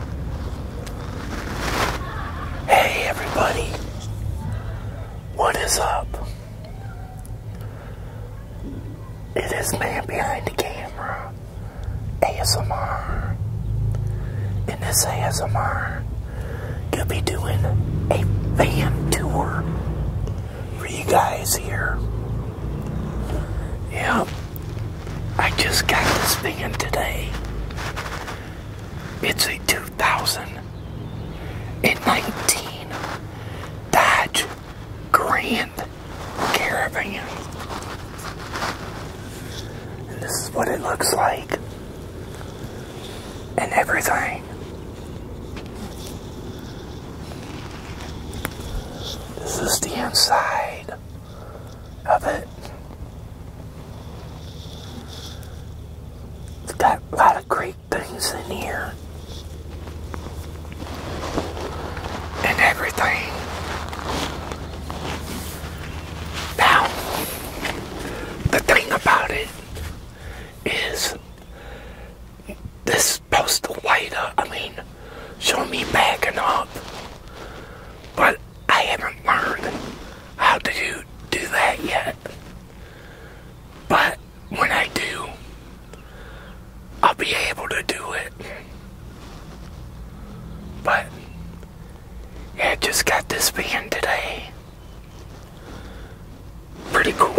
Hey everybody, what is up? It is man behind the camera, ASMR. In this ASMR, gonna be doing a fan tour for you guys here. Yep. I just got this van today. It's a 2019 Dodge Grand Caravan. And this is what it looks like. And everything. This is the inside of it. It's got a lot of great things in here. And everything. Now, the thing about it is this supposed to uh, I mean, show me backing up. But I haven't learned how to do, that yet. But when I do, I'll be able to do it. But, yeah, just got this van today. Pretty cool,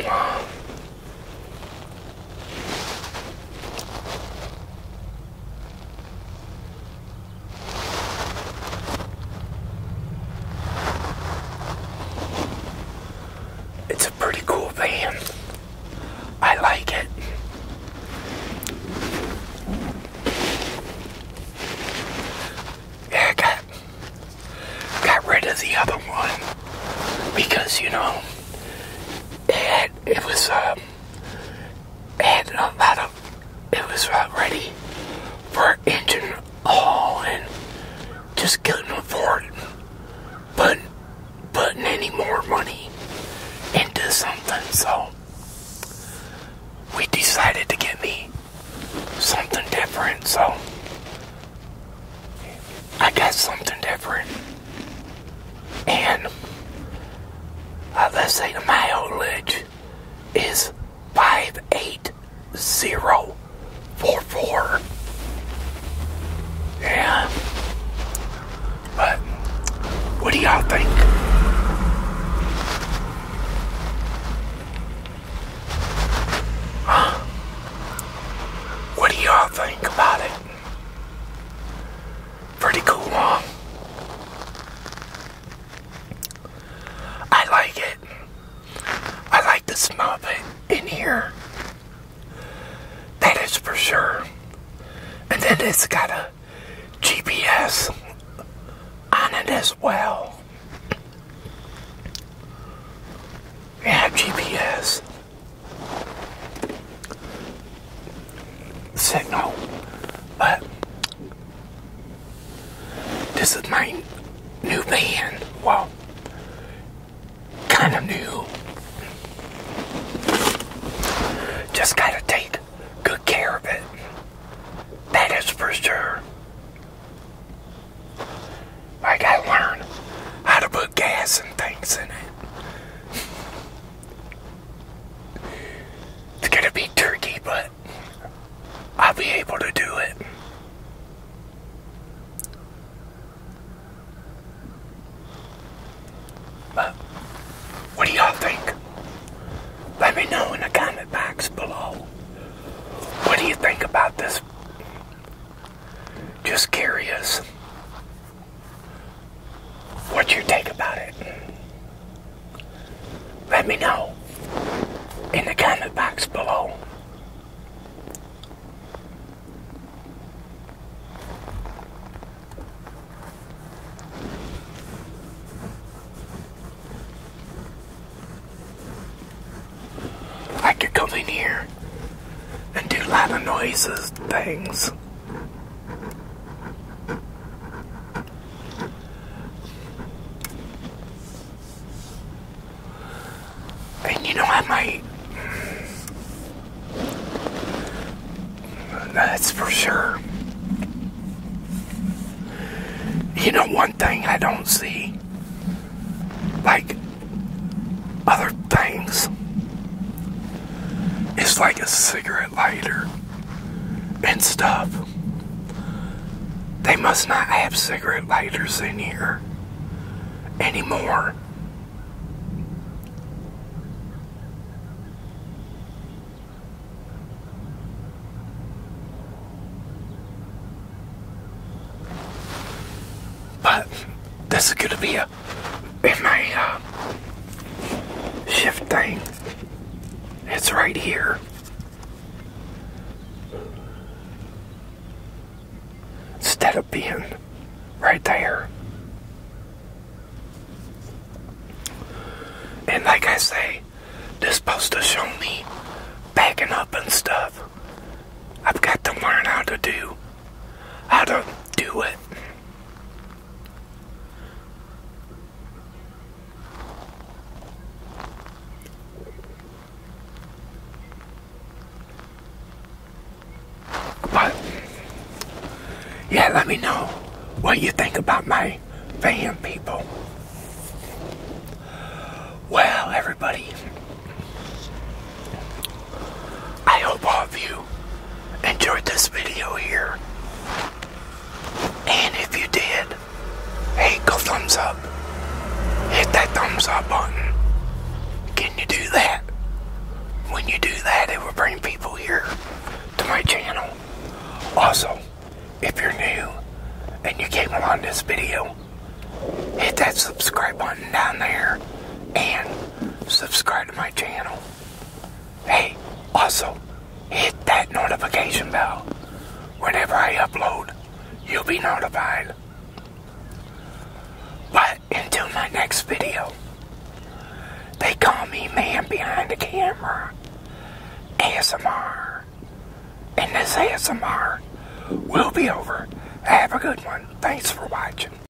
it's a pretty cool van. I like it. Yeah, I got, got rid of the other one because, you know, it, it was... Uh, and about a, it was ready for engine haul and just couldn't afford but putting any more money into something. So we decided to get me something different. So I got something different. And uh, let's say the mileage is 58044. Yeah. But what do y'all think? What do y'all think about it? Pretty cool, huh? I like it. I like the smell of it in here. That is for sure. And then it's got a GPS on it as well. Yeah, GPS signal, but this is my new band. Wow, kind of new. Just gotta take good care of it. That is for sure. I gotta learn how to put gas and things in it. It's gonna be turkey, but I'll be able to do it. But what do y'all think? Let me know in the comment box below. What do you think about this? Just curious what you think about it. Let me know in the comment box below. I could come in here and do a lot of noises, things. And you know, I might. That's for sure. You know, one thing I don't see, like other things, it's like a cigarette lighter and stuff. They must not have cigarette lighters in here anymore. But this is to be a in my uh, shift thing. It's right here. Instead of being right there. And like I say, this supposed to show me backing up and stuff. I've got to learn how to do, how to do it. But yeah, let me know what you think about my fan people. Well, everybody, I hope all of you you enjoyed this video here. And if you did, hey, go thumbs up. Hit that thumbs up button. Can you do that? When you do that, it will bring people here to my channel. Also, if you're new and you came along this video, hit that subscribe button down there and subscribe to my channel. Hey, also hit that notification bell. Whenever I upload, you'll be notified. But until my next video, they call me man behind the camera. ASMR. And this ASMR will be over. Have a good one. Thanks for watching.